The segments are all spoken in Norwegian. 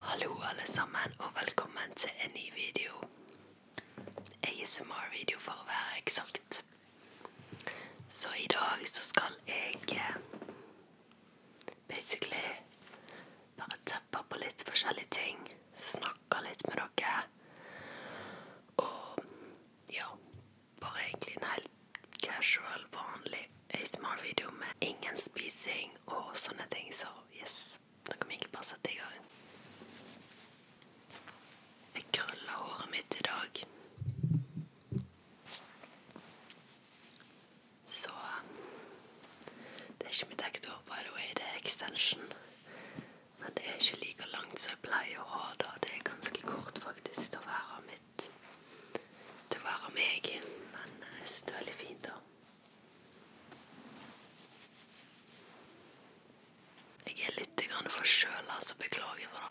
Hallo alle sammen, og velkommen til en ny video. ASMR-video for å være eksakt. Så i dag så skal jeg eh, basically bare teppe på litt forskjellige ting. Snakke litt med dere. Og ja, bare egentlig en helt casual, vanlig ASMR-video med ingen spising og sånne ting, så yes. Den kommer egentlig bare sette i gang. Jeg krøller håret mitt i dag. Så Det er ikke mitt ekte hår, by the way. Det er extension. Men det er ikke like langt som jeg pleier å ha det. Det er ganske kort, faktisk, til å være mitt Til å være meg. Men eh, jeg syns det er veldig fint, da. Jeg er litt forkjøla, så beklager for det.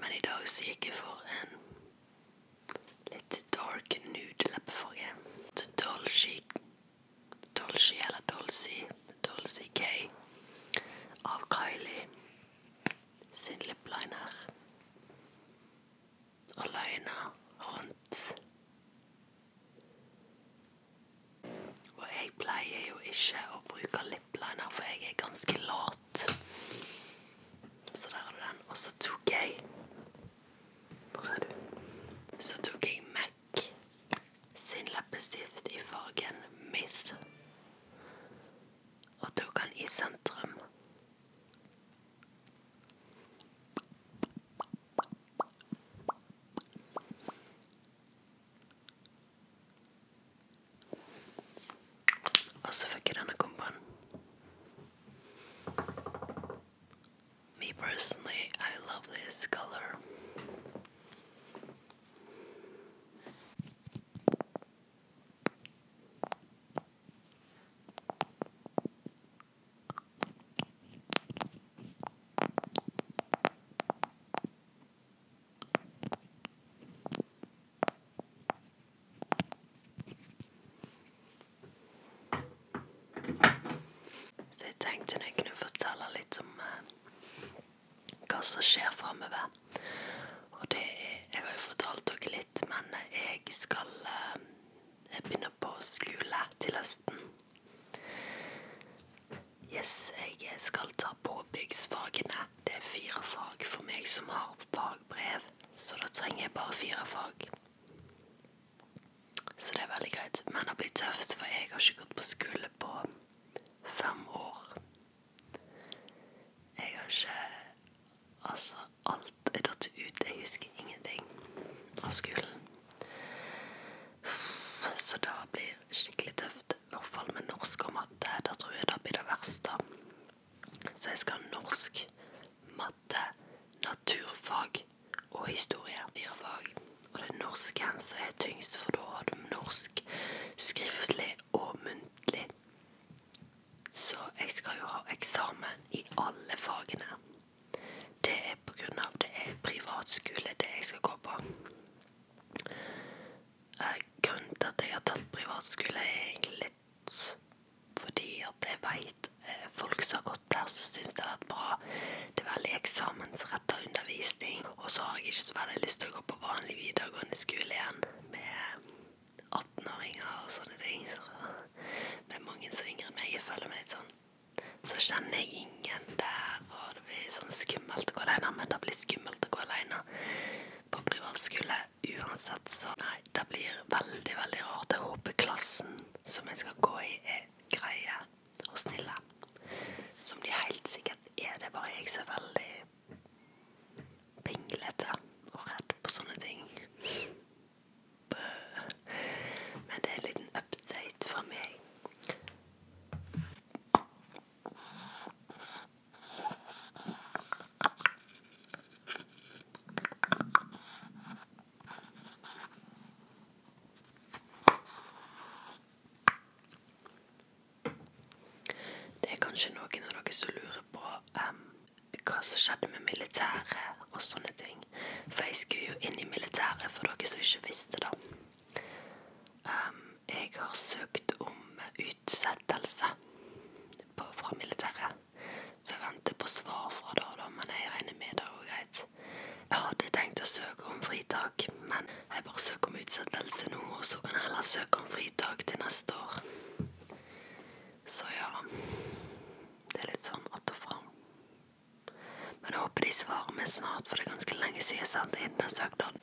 Men i dag så gikk jeg for en litt dark nude leppefarge. Dolce Dolce eller Dolce Dolce K av Kylie sin lipliner. Og løgna rundt. Og jeg pleier jo ikke å bruke lip liner, for jeg er ganske lat. Så der har du den. Og så tok jeg Hvor er du? Så tok jeg Mac sin leppestift i fargen Myth. Og tok den i sentrum. Also vergeht an a kumpan. Me personally, I love this color. Så jeg tenkte jeg kunne fortelle litt om eh, hva som skjer framover. Og det er Jeg har jo fortalt dere litt, men jeg skal eh, Jeg begynner på skole til høsten. Yes, jeg skal ta påbyggsfagene. Det er fire fag for meg som har fagbrev, så da trenger jeg bare fire fag. Så det er veldig greit. Men det blir tøft, for jeg har ikke gått på skole på fem år. Jeg har ikke Altså, alt er datt ut. Jeg husker ingenting av skolen. Så det blir skikkelig tøft at i hvert fall med norsk og matte, da tror jeg det blir det verste. Så jeg skal ha norsk, matte, naturfag og historie. Fire fag. Og det er norsken som er tyngst, for da har du norsk skriftlig og muntlig. Så jeg skal jo ha eksamen i alle fagene. Det er pga. det er privatskole, det jeg skal gå på eh, grunnen til at jeg har tatt privatskole, er egentlig litt fordi at jeg veit eh, folk som har gått der, som syns det har vært bra. Det er veldig eksamensretta undervisning. Og så har jeg ikke så veldig lyst til å gå på vanlig videregående skole igjen med 18-åringer og sånne ting. Så, med mange som er yngre enn meg. Jeg føler meg litt sånn så kjenner jeg ingen der, og det blir sånn skummelt å gå alene, men det blir skummelt å gå alene på privatskole uansett, så nei, det blir veldig, veldig rart. Jeg håper klassen som jeg skal gå i, er greie og snille. Som de helt sikkert er. Det bare jeg som er veldig pinglete og redd på sånne ting. Men det er en liten update fra meg. Det er kanskje noen av dere som lurer på um, hva som skjedde med militæret og sånne ting. For jeg skulle jo inn i militæret, for dere som ikke visste det. Um, jeg har søkt om utsettelse på, fra militæret, så jeg venter på svar fra da, da men jeg regner med det går greit. Jeg hadde tenkt å søke om fritak, men jeg bare søker om utsettelse nå, og så kan jeg heller søke om fritak til neste år. Så ja Det er litt sånn att og fram. Men jeg håper de svarer meg snart, for det er ganske lenge siden jeg sendte inn den søknaden.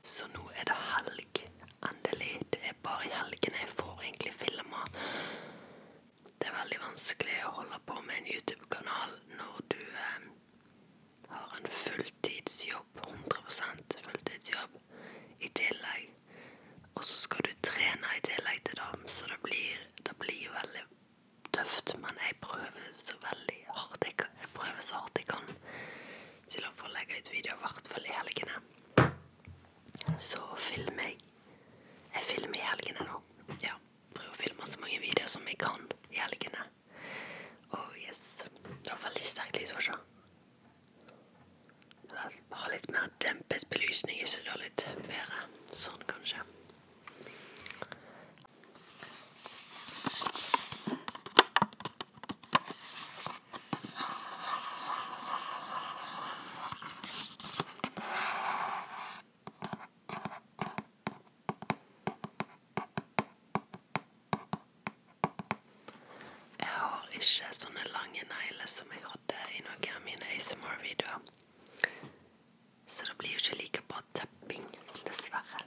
Så nå er det helg. Endelig. Det er bare i helgene jeg får egentlig filma. Det er veldig vanskelig å holde på med en YouTube-kanal når du eh, har en fulltidsjobb, 100 fulltidsjobb, i tillegg. Og så skal du trene i tillegg til det, så det blir, det blir veldig tøft. Men jeg prøver så veldig hardt jeg, jeg prøver så hardt jeg kan til å få legge ut videoer, i hvert fall i helgene. Så filmer jeg. Jeg filmer i helgene nå. Ja, prøver å filme så mange videoer som jeg kan i helgene. Oh yes. Det var veldig sterkt lys, var det ikke? Ha litt mer dempet belysning, så det er litt bedre. Sånn, kanskje. Jeg har ikke sånne lange negler som jeg hadde i noen av mine ASMR-videoer. Så det blir jo ikke like bra tapping, dessverre.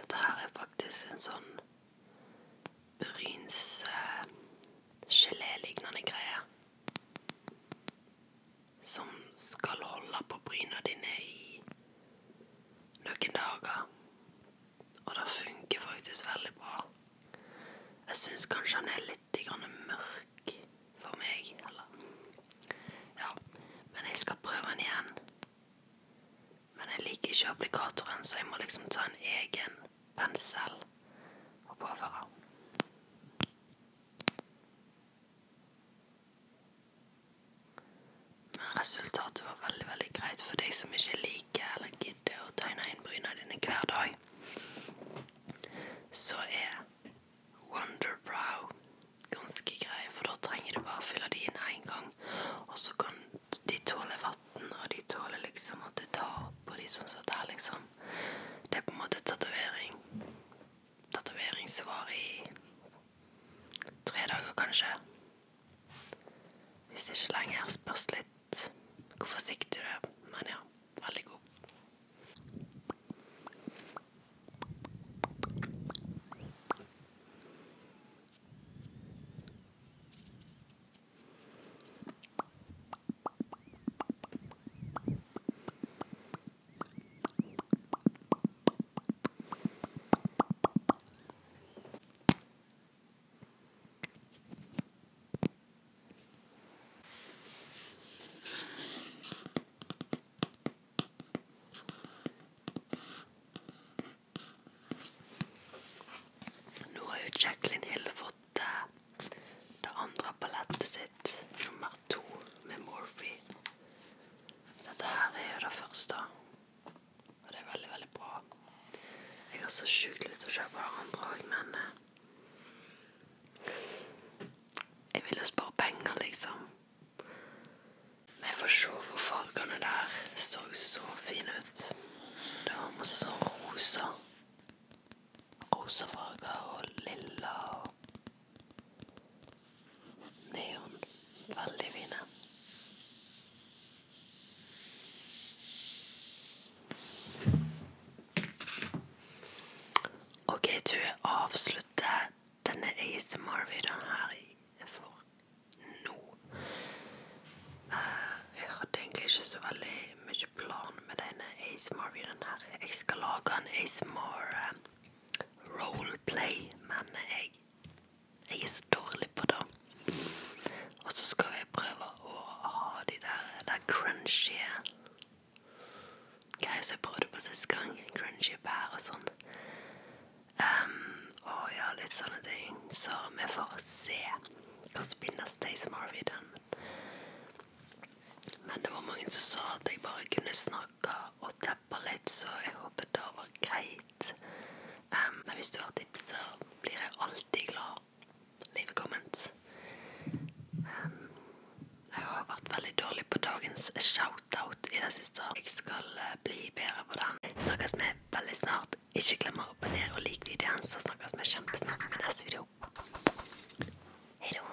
Dette her er faktisk en sånn brynsgelélignende eh, greie. Som skal holde på bryna dine i noen dager. Og det funker faktisk veldig bra. Jeg syns kanskje han er litt mørk for meg, eller Ja, men jeg skal prøve den igjen. Men jeg liker ikke applikatoren, så jeg må liksom ta en egen pensel og påføre. Resultatet var veldig veldig greit for deg som ikke liker eller gidder å tegne inn bryna dine hver dag. Så er Wonderbrow ganske grei, for da trenger du bare å fylle de inn én gang. Og så kan de tåle vann, og de tåler liksom at du tar på de sånn som dette, liksom. Det er på en måte tatovering. Tatovering som varer i tre dager, kanskje. Hvis det er ikke lenger spørs litt hvor forsiktig du er. Men ja, veldig god. Nå har jo Jacqueline Hill fått uh, det andre palettet sitt, nummer to, med Morphe. Dette her er jo det første. Og det er veldig, veldig bra. Jeg har så sjukt lyst til å kjøpe andre òg, men eh, Jeg vil jo spare penger, liksom. Men jeg får se hvor fargene der så så fine ut. Det var masse sånn rosa. Rosa farger og lilla og Neon. Veldig fine. Ok, du avslutter denne ASMR-videoen her for nå. Uh, jeg hadde egentlig ikke så veldig mye plan med denne ASMR-videoen her. Jeg skal lage en ASMR uh, eh, roleplay, men jeg jeg er så dårlig på det. Og så skal jeg prøve å ha de der, der crunchy greier som jeg prøvde på sist gang. Crunchy bær og sånn. Um, og ja, litt sånne ting. Så vi får se hva som blir neste ASMR i den. Men det var mange som sa at jeg bare kunne snakke og teppe litt, så jeg håper det var greit fint. Um, men hvis du har tips, så blir jeg alltid glad. Leave comments. Um, jeg har vært veldig dårlig på dagens shout-out i det siste. Jeg skal uh, bli bedre på den. Snakkes vi veldig snart. Ikke glem å abonnere og like videoen, så snakkes vi kjempesnart med neste video. Hei da.